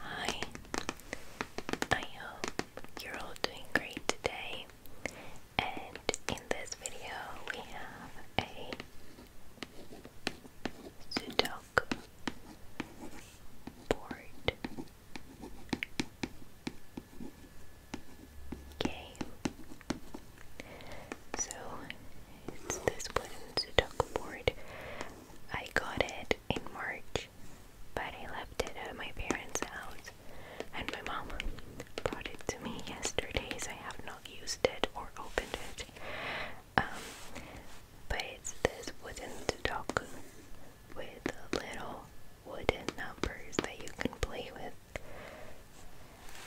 Hi, I hope you're all doing great today. And in this video, we have a Sudoku board game. So it's this wooden Sudoku board I got it in March, but I left it at my parents' house, and my mom brought it to me yesterday, so I have not used it or opened it. Um, but it's this wooden dog with little wooden numbers that you can play with.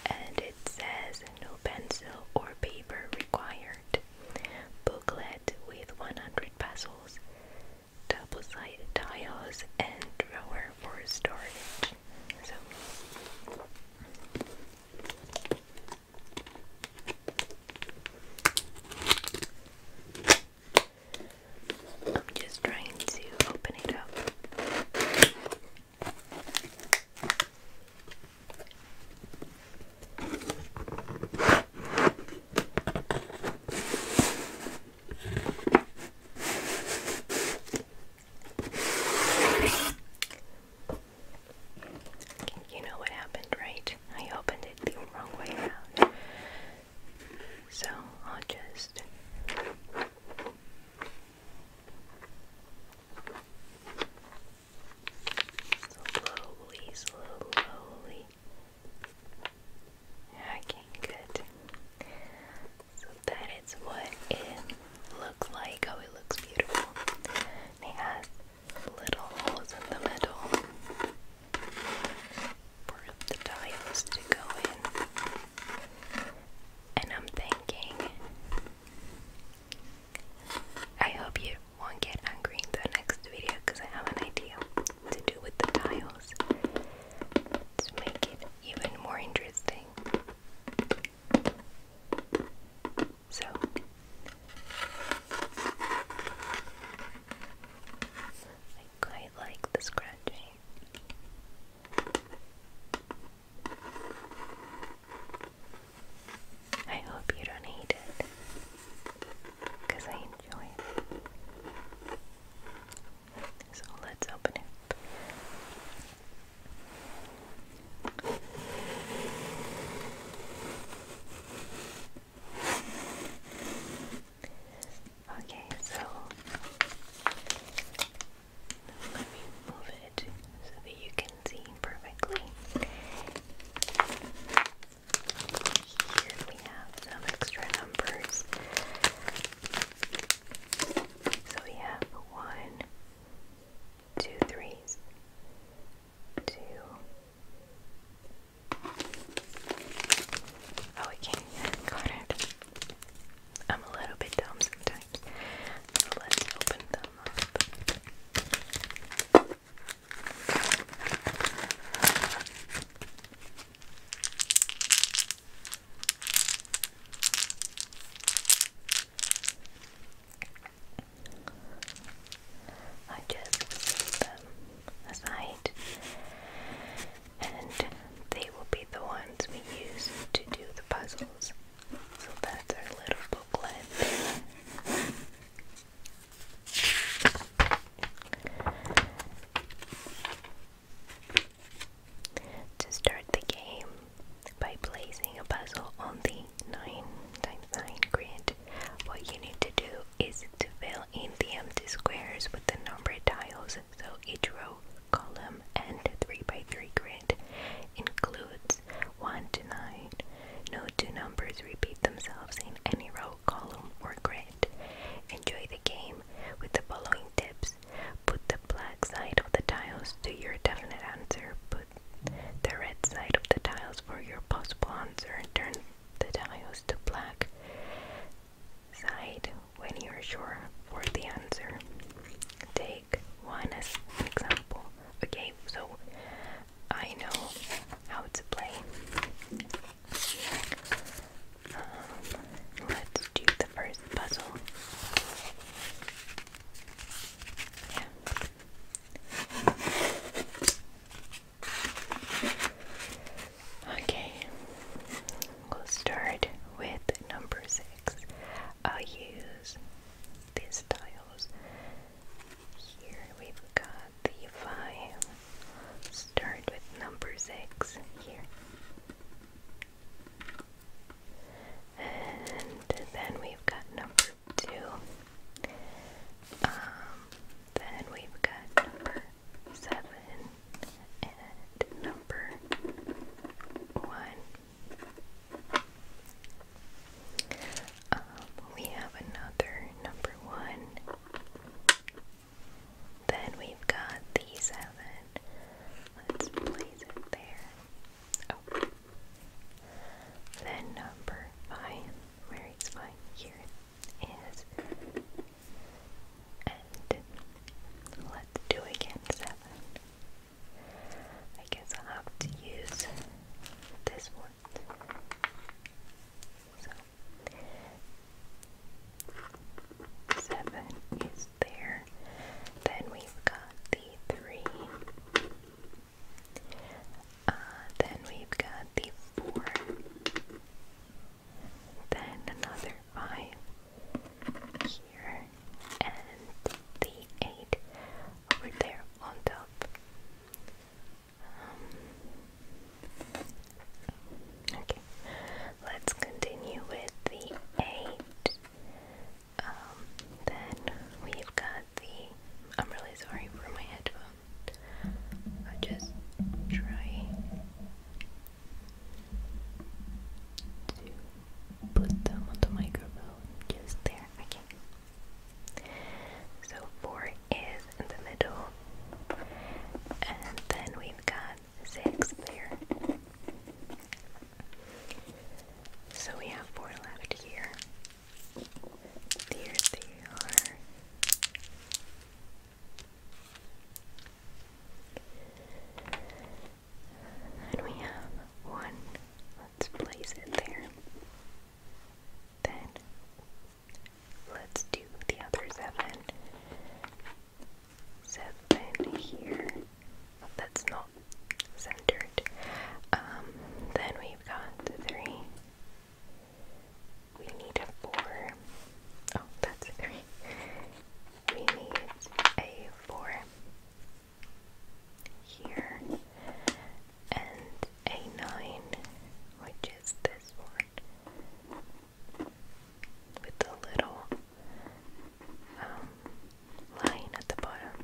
And it says no pencil or paper required booklet with 100 puzzles, double-sided tiles, and drawer for storage. I'm just trying to open it up. You know what happened, right? I opened it the wrong way around. So I'll just. Slowly, slowly. Okay, good. So that is what it looks like. Oh, it looks beautiful. it has little holes in the middle for the tiles to go in. And I'm thinking, I hope you won't get angry in the next video because I have an idea to do with the tiles to make it even more interesting. So, I like the scratching. I hope you don't hate it because I enjoy So let's open it. Okay, so let me move it so that you can see perfectly. Here we have some extra numbers. So we have one, Oh, I can't even it. I'm a little bit dumb sometimes. So let's open them them up. I just leave them aside, and they will be the ones we use to do the puzzles so that's our little booklet. To start the game by placing a puzzle on the 9 times 9 grid, what you need to do is to fill in the empty squares with the number tiles so each row, column, and 3 by 3 grid includes 1 to 9. No two numbers repeat themselves in any row, column, or grid. Enjoy the game with the following tips. Put the black side of the tiles to your definite answer. Put the red side of the tiles for your possible answer. Turn the tiles to black side when you're sure for the answer. Take take as an example. Okay, so I know how to play. Um, let's do the first puzzle. Okay, we'll start with number six. I'll use these tiles. Here we've got the five. Start with number six here. And then we've got number two. Um, then we've got number seven and number one. Um, we have another number one. Then we've got the seven. Let's place it there. Oh. Then number five, where is five? Here is and let's do again seven. I guess I'll have to use this one. So, seven is there. Then we've got the three. Uh, then we've got the four. Then another five here and the 8 over there on top. Um, okay, let's continue with the 8. Um, then we've got the. I'm really sorry for my headphone. i just try to put them on the microphone just there. Okay. So four is in the middle. And then we've got six there. So we have four left here. There they are. And we have one let's place it there. Then let's do the other seven. Seven here. Oh, that's not centered. Um, then we've got the three. We need a four. Oh, that's three. We need a four here and a nine, which is this one with the little um, line at the bottom.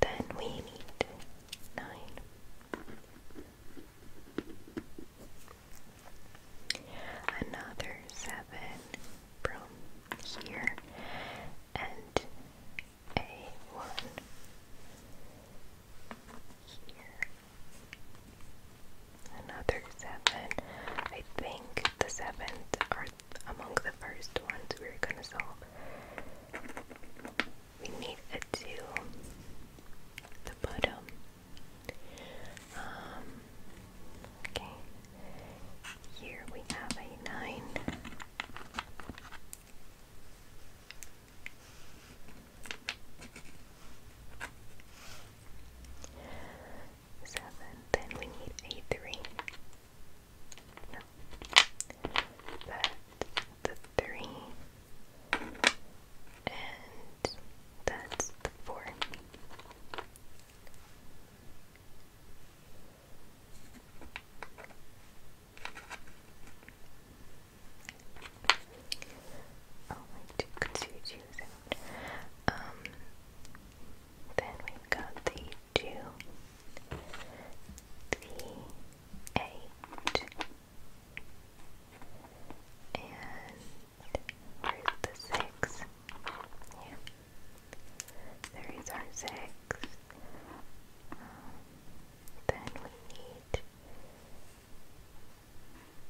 Then we need nine. Another seven from here and a one here. Another seven. I think the seventh are among the first ones we're gonna solve. We need a two. The bottom. Um okay. Here we have a 9. Seven. Then we need a three. No. the three. And that's the four. Oh my two concealed shoes out. Um then we've got the two the eight and where's the six? Yeah. There is our six. then we need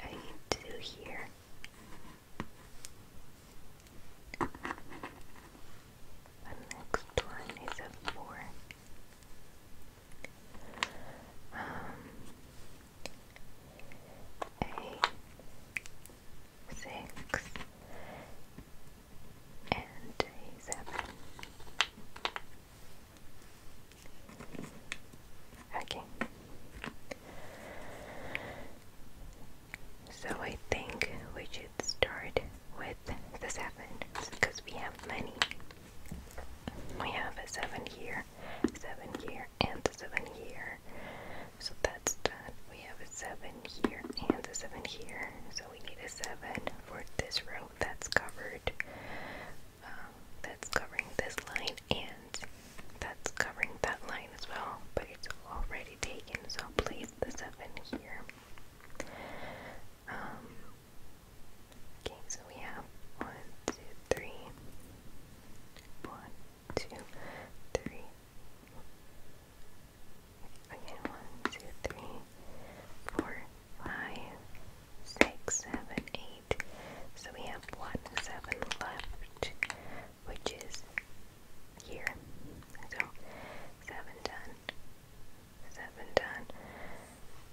a two here. The next one is a four. Um, a six and he's happy. Okay. So I think we should start with the seven because we have many. We have a seven here, seven here, and seven here. So that's done. We have a 7 here and a 7 here. So we need a 7 for this row that's covered. Um, that's covering this line and that's covering that line as well. But it's already taken, so I'll place the 7 here. Um, okay, so we have 1, 2, 1, 2, 3. Again, one, two, three, four, five, six, seven, eight. So we have one seven left, which is here. So seven done, seven done.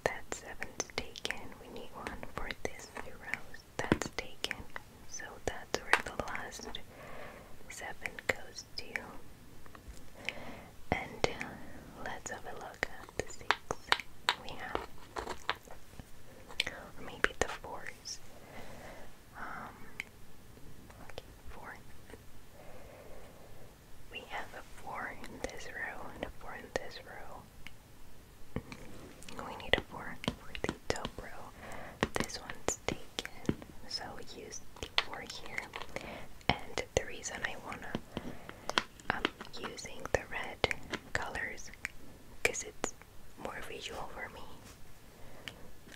That seven's taken. We need one for this row. That's taken. So the spots were the last seven goes to. And uh, let's have a look at the six we have, or maybe the fours. Um, four. We have a four in this row a four in this row. We need a four for the top row. This one's is taken. So use the 4 here. And the reason I wanna I'm um, using the red colors because it's more visual for me.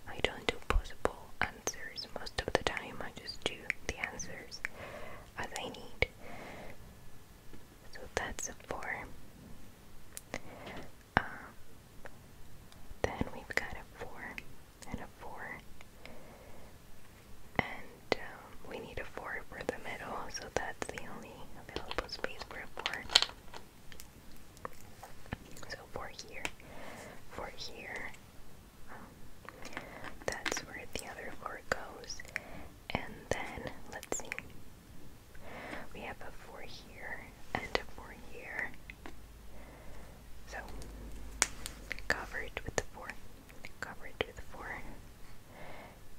I don't do possible answers most of the time, I just do the answers as I need. So that's a four. Um, then we've got a 4 and a 4. And um, we need a 4 for the middle, so that's the only available space for a 4. So 4 here, 4 here. Um, that's where the other 4 goes. And then, let's see. We have a 4 here and for here. So cover it with the four, cover it with the four,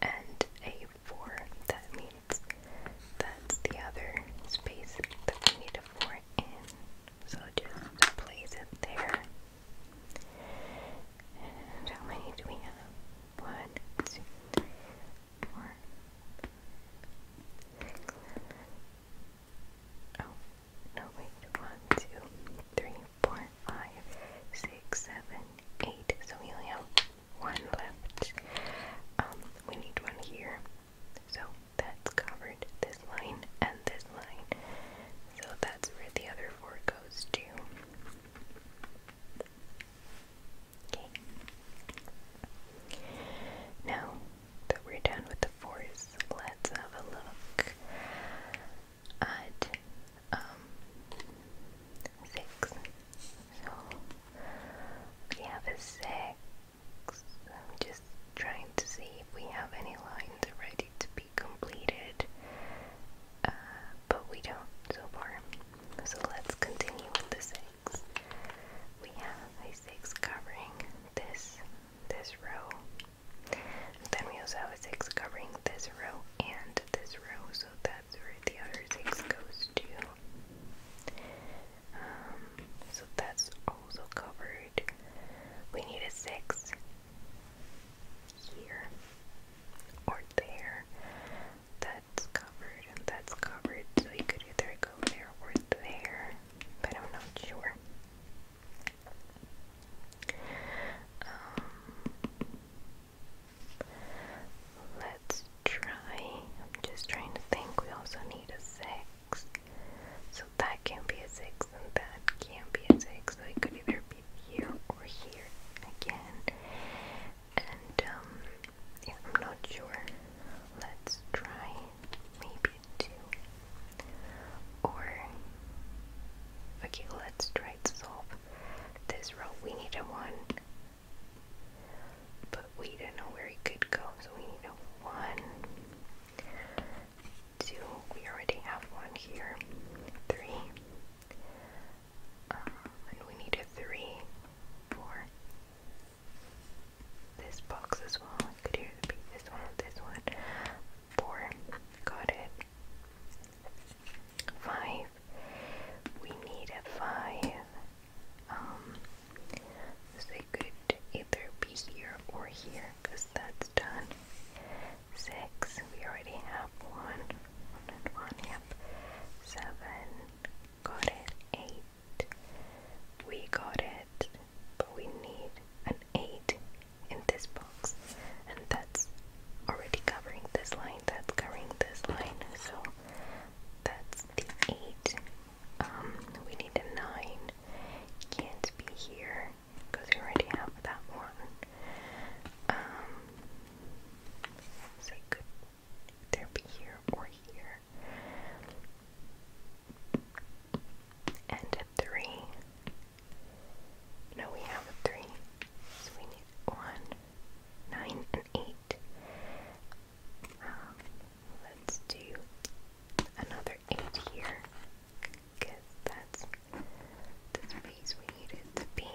and a four. That means that's the other space that we need a four in. So just place it there. And how many do we have? One, two, three, four, six, Oh, no, wait. One, two, three, four, five, six, seven, eight. So we have one left. Um, we need one here. So that's covered. This line and this line. So that's where the other four goes to. Okay. Now but we're done with the 4s Let's have a look at um, six. So we have a six. I'm just trying to see if we have any lines ready to be completed. Uh, but we don't so far. So let's continue with the six. We have a six covering this this row. Then we also have a six covering this row and this row, so that's where the other six goes to. Um, so that's also covered. We need a six here or there. That's covered and that's covered, so you could either go there or there. I'm not sure. Um, let's try. I'm just trying to think. We also need a six, so that can not be a six, and that can not be a six. So it could either be here or here again, and um, if I'm not sure, let's try maybe two. Or, okay, let's try to solve this row. We need a one, but we don't know where it could go, so we need a one, two, we already have one here, three, um, and we need a three, four, this box as well. I could hear the beat. This one, this one. Four. Got it. Five. We need a five. Um, so they could either be here or here because that's done. Six. We already have one. One and one. Yep. Seven. Got it. Eight. We got it, but we need an eight in this box, and that's already covering this line, that's covering this line, so that's the eight. Um, we need a nine, can't be here because we already have that one. Um, so it could either be here or here and a three. No, we have three. So we need one, nine, and eight. Um, let's do another eight here. Because that's the space we needed to be.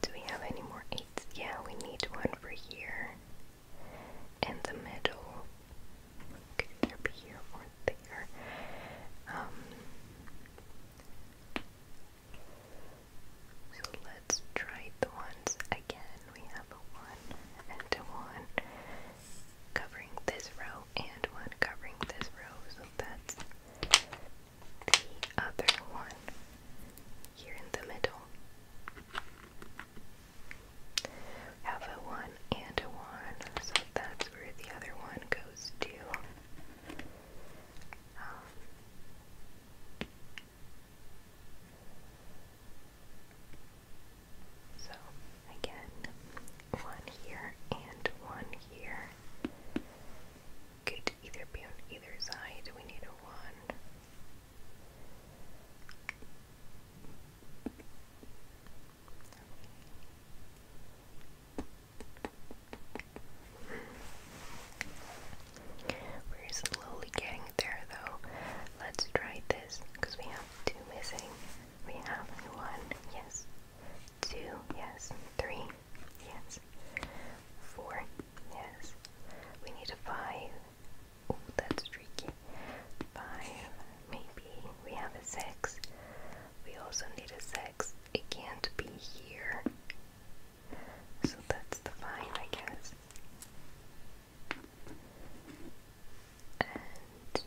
Do we have any more Yeah, we need one for here. In the middle. Could be here or there. Um, so let's try the ones again. We have a one and a one covering this row and one covering this row. So the other one here in the middle. Have a one and a one, so that's where the other one goes to. Um, so again, one here and one here could either be on either side. We need a We're slowly getting there though. Let's try this because we have two missing. We have one, yes, two, yes, three, yes. Four, yes. We need a five. Oh, that's tricky. Five, maybe. We have a six. We also need a six. It can't be here. So that's the five, I guess. And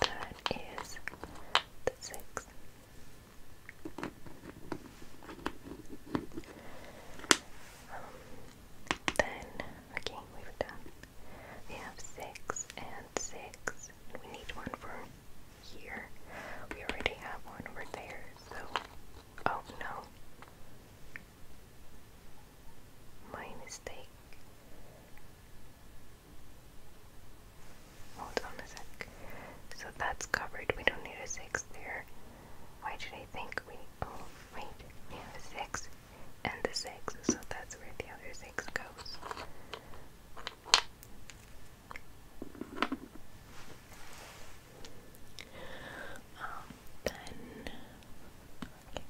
that is the six then, okay, we We have six and six. We need one for here. We already have one over there, so. Oh no. My mistake. Hold on a sec. So that's covered. We don't need a six there. Why did I think we, oh wait, we have a six and the six, so that's where the other six goes. Um, then, okay.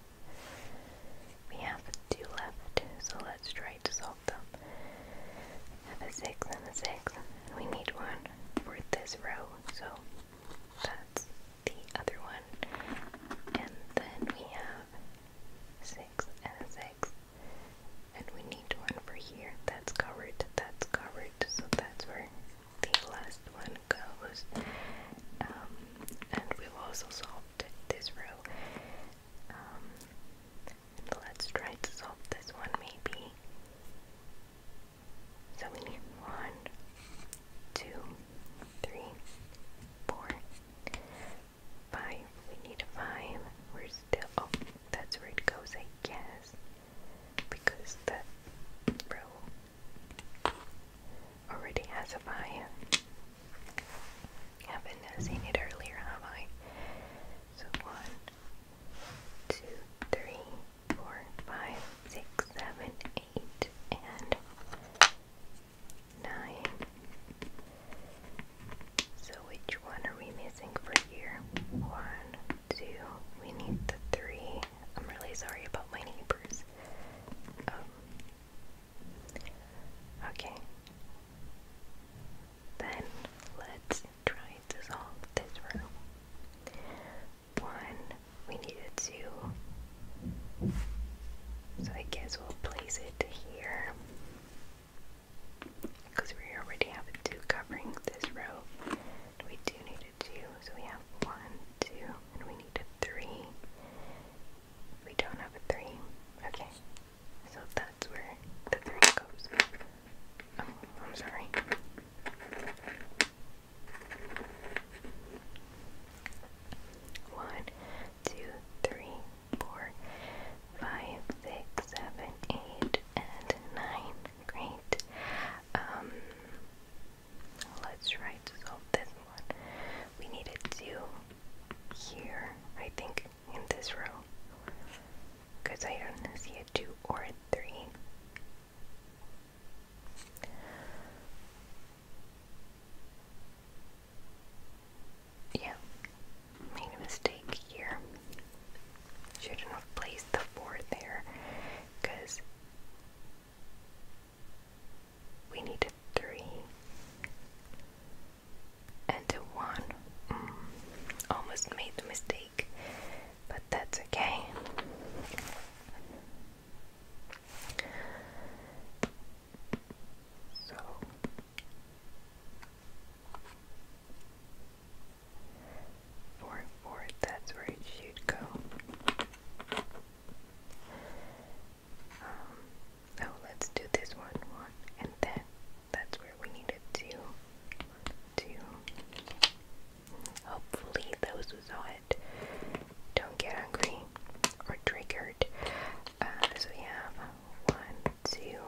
We have two left, so let's try to solve them. have a 6 and a 6. We need one for this row so that's the other one. And then we have six and a six. And we need one for here. That's covered, that's covered, so that's where the last one goes. Um, and we've also solved this row. Um, let's try to solve this one maybe. So we need one, two, three, four, five. We need a five. We're still. Oh, that's where it goes, I guess. Because that row already has a five. Haven't seen it earlier, have I? So one, two, three, four, five, six, seven, eight, and nine. So which one are we missing for here? One, two, we need the three. I'm really sorry about my neighbors. Um, okay. Then let try to solve this room. One, we needed two. So I guess we'll place it here. Because we already have two covering this row. we do need a two, so we have one, two, and we need a three. We don't have a three. Okay. So that's where the three goes. Oh, I'm sorry. One, two, three, four, five, six, seven, eight, and nine. Great. Um, let's try to solve this one. We needed two here, I think, in this row because I don't see a 2 or a 3. Yeah, made a mistake here. should have placed the 4 there because we need 3 and a 1. Mm, almost made the mistake but that's okay. So four and four, that's where it should go. so um, let's do this one, one, and then that's where we needed to to hopefully those who saw it don't get angry or triggered. Uh, so we have one, two,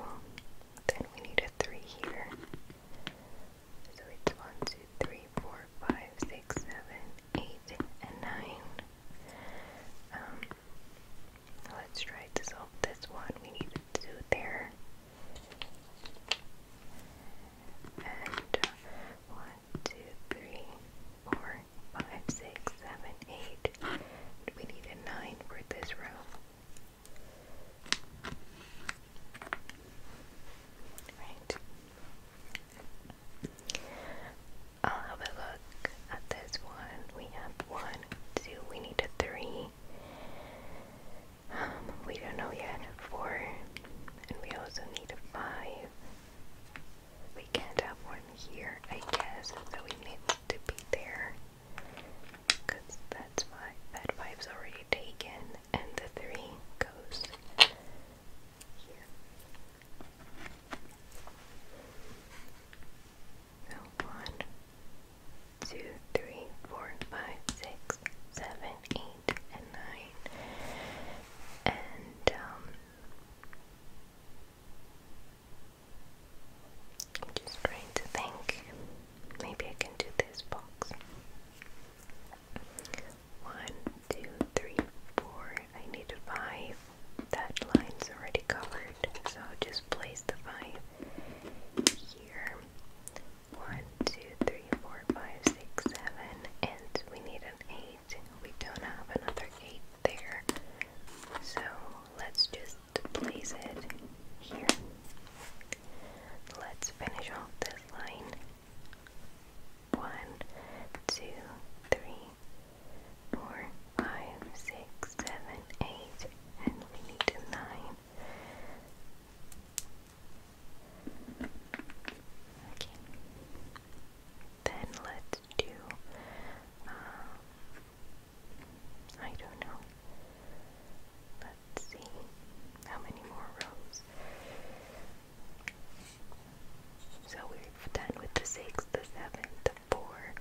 then we need a three here. So it's one, two, three, four, five, six, seven, eight, and nine. Um, let's try to solve this one. We need two there. And one, two, three, four, five, six, seven, eight. We need a nine for this row. Right. I'll have a look at this one. We have one, two, we need a three. Um, we don't know yet. Four. And we also need a five. We can't have one here, I guess, so we need to be there. Because that's five. That five's already taken, and the three goes here. So one, 2, 3, 4, 5, 6, 7, 8, and 9. And, um, I'm just trying to think. Maybe I can do this box. 1, I need 5. That line's already covered, so just place the 5 here. 1, 2, 3, 4, 5, 6, 7, and we need an 8. We don't have another 8 there. So let's just place it here. Let's finish off this line. 1, 2, 3, 4, 5, 6, 7, 8, and we need a 9. Okay. Then let's do, um, I don't know. Let's see how many more rows. So we've done with the six, the seven, the four.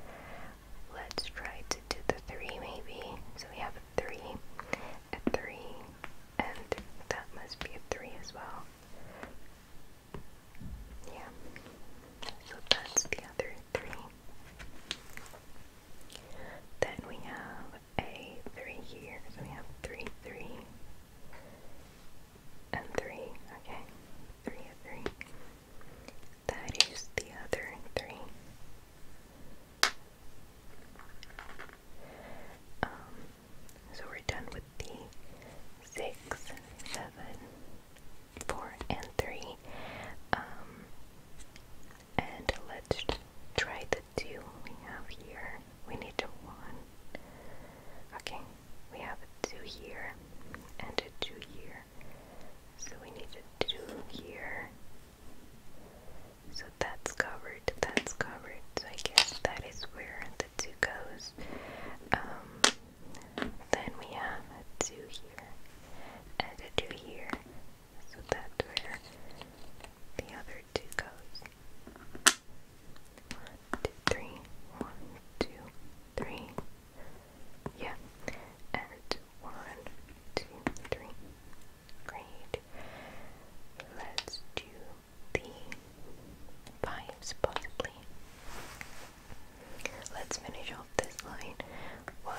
Let's try to do the three maybe. So we have three, a three, and that must be a three as well. Yeah, so that's the other three. Then we have a three here, we have three, three, and three. Okay, three, three. That is the other three. Um, so we're done with the six, seven, four, and three. Um, and let's try the two we have here. We need a one. Okay, we have a two here and a two here. So we need a two here so that's covered, that's covered. So I guess that is where the two goes. Um, then we have a two here and a two here. So that's where the other two goes. One, two, three. Yeah. And two. One, one, two, three. Great. Let's do the vibes possibly. Let's finish off this line. One,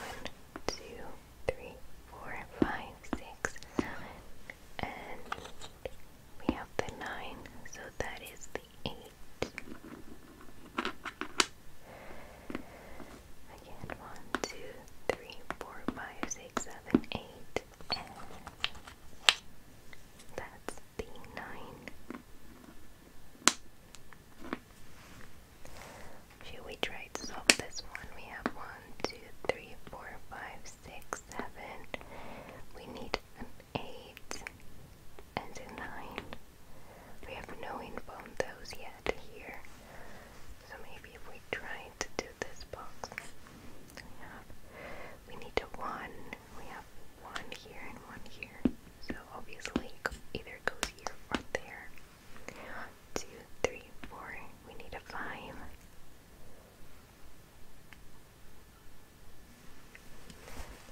two, three, four, five, six, seven, and we have the nine, so that is the eight. Again, one, two, three, four, five, six, seven, eight, and that's the nine. Should we try to solve this one? We have one, two, three, four, five, six, seven. We need an eight and a nine. We have no info on those yet here. So maybe if we try to do this box, we have we need a one. We have one here and one here. So obviously either goes here or there. Two, three, four. We need a five.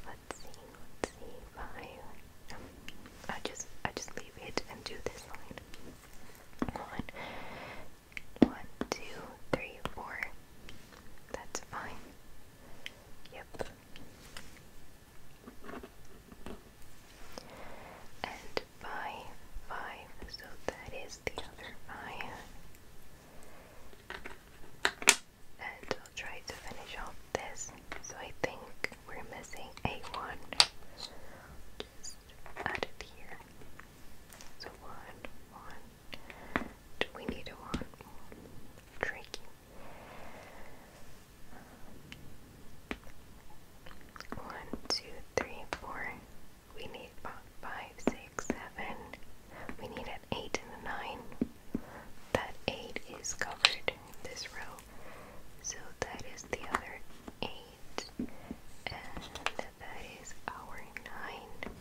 Let's see, let's see, five. I just I just leave it and do this line. One, one, two, three, four. That's fine. Yep. And five, five. So that is the other five. And I'll try to finish off this so I think we're missing a one. Just add it here. So one, one. Do we need a one? Tricky. One, two, three, four. We need five, six, seven. We need an eight and a nine. That eight is covered this row. So that is the other eight, and that is our nine.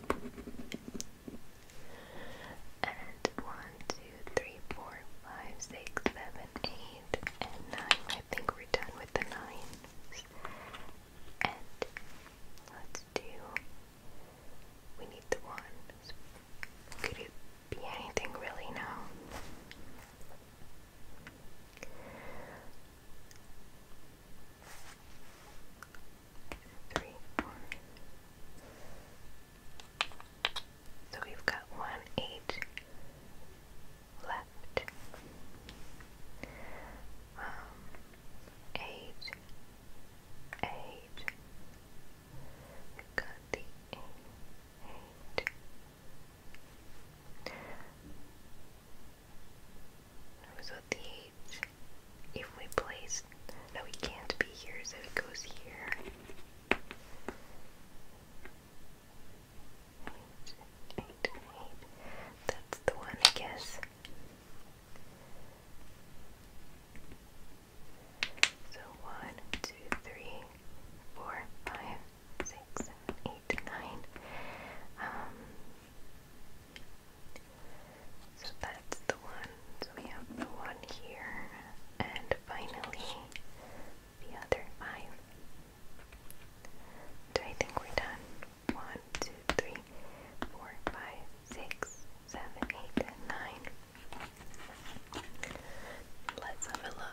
And one, two, three, four, five, six, seven, eight, and nine. I think we're done with the nines. And let's do. We need the ones. Could it be anything really now? Three, four. So we've got one eight left. Um, eight, eight. We've got the eight, eight, so the if we place, no, it can't be here, so it goes here. Eight, eight, eight. That's the one, I guess. So one, two, three, four, five, six, seven, eight, nine. Um, so that's the one. So we have the one here, and finally the other five. I think we're done. One, two, three, four, five, six, seven, eight, let Let's have a look.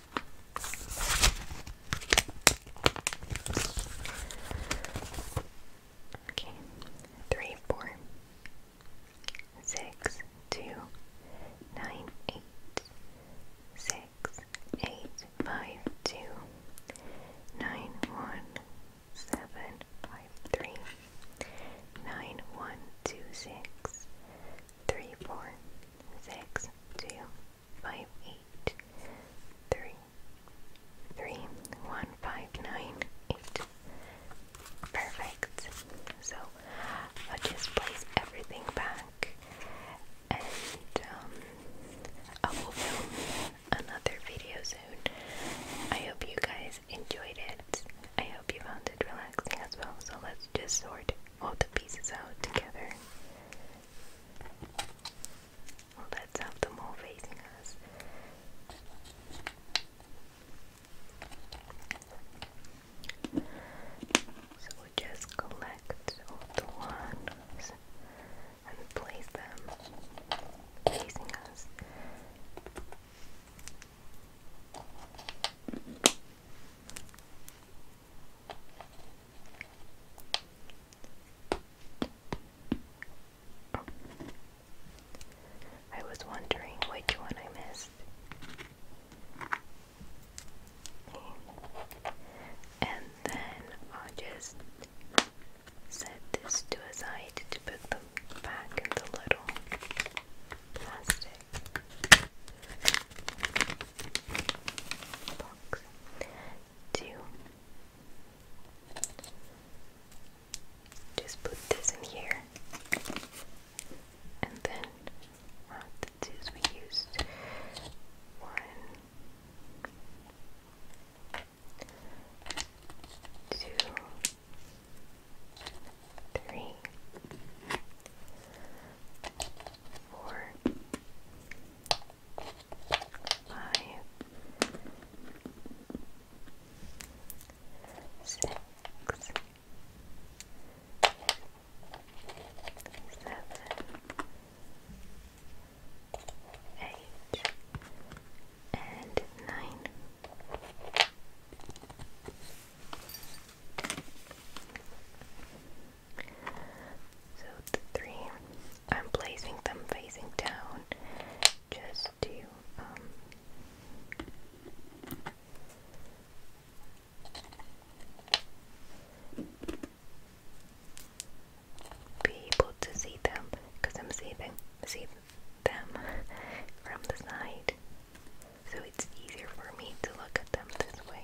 Okay, three, four, six, two, nine, eight, six, eight, five, two, nine, one, seven, five, three, nine, one, two, six, three, four, six, two, five eight three three one five nine eight. Perfect. So I'll just place everything back and um, I will film another video soon. I hope you guys enjoyed it. I hope you found it relaxing as well. So let's just sort all the pieces out together. let's have them all facing us. So just collect all the ones and place them facing us. I was wondering which one I missed. And then I'll just set this to a side to put them back in the little plastic box. Two. Just put this in here. And then one uh, of the twos we used. One. Two, three, four, five, six, seven, eight, and nine. So the three, I'm placing them facing down just to um, be able to see them because I'm seeing see them from the side. So it's easier for me to look at them this way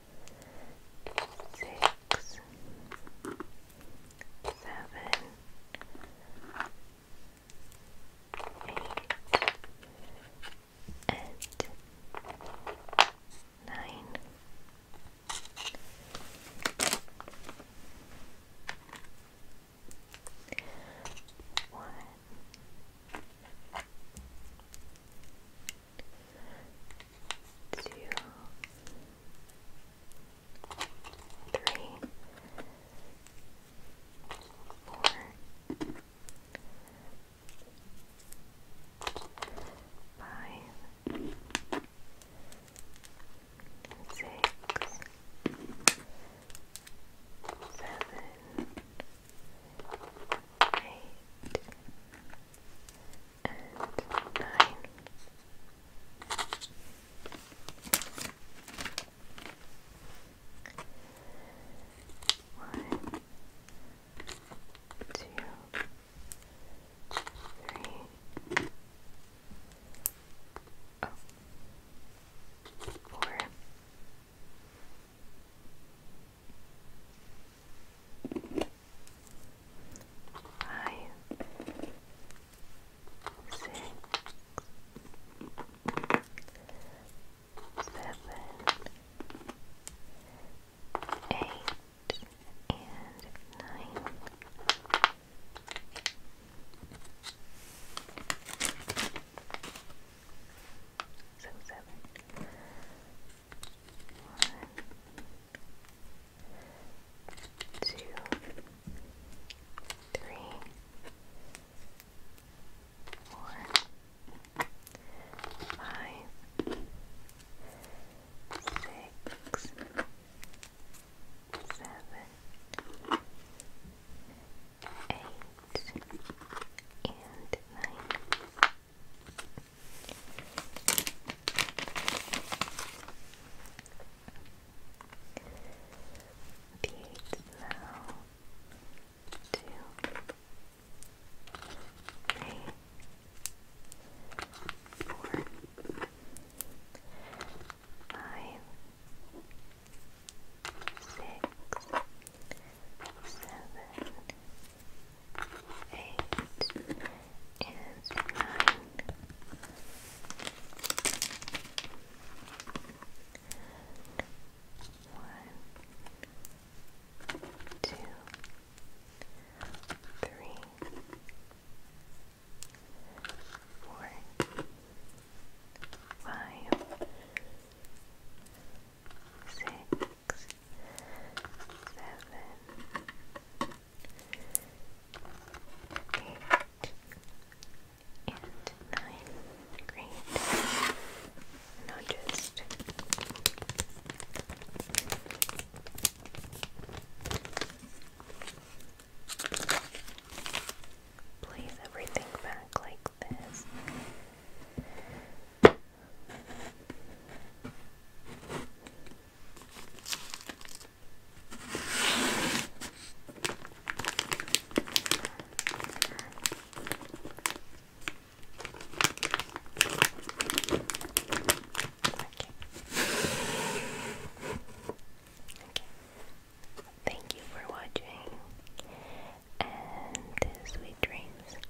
six, seven, eight, and nine. One, two, three, four, five, six, seven, eight and nine. One, two, three, oh, four, five, six, seven, eight, and nine. So seven. One, two, three, four, five, six, seven, eight, and nine. Beads now. Two, three, four, five, six, seven, eight is nine. One, two, three, four, five, six six, seven, eight, and nine. Great. Now just place everything back like this. Thank you for watching and sweet dreams.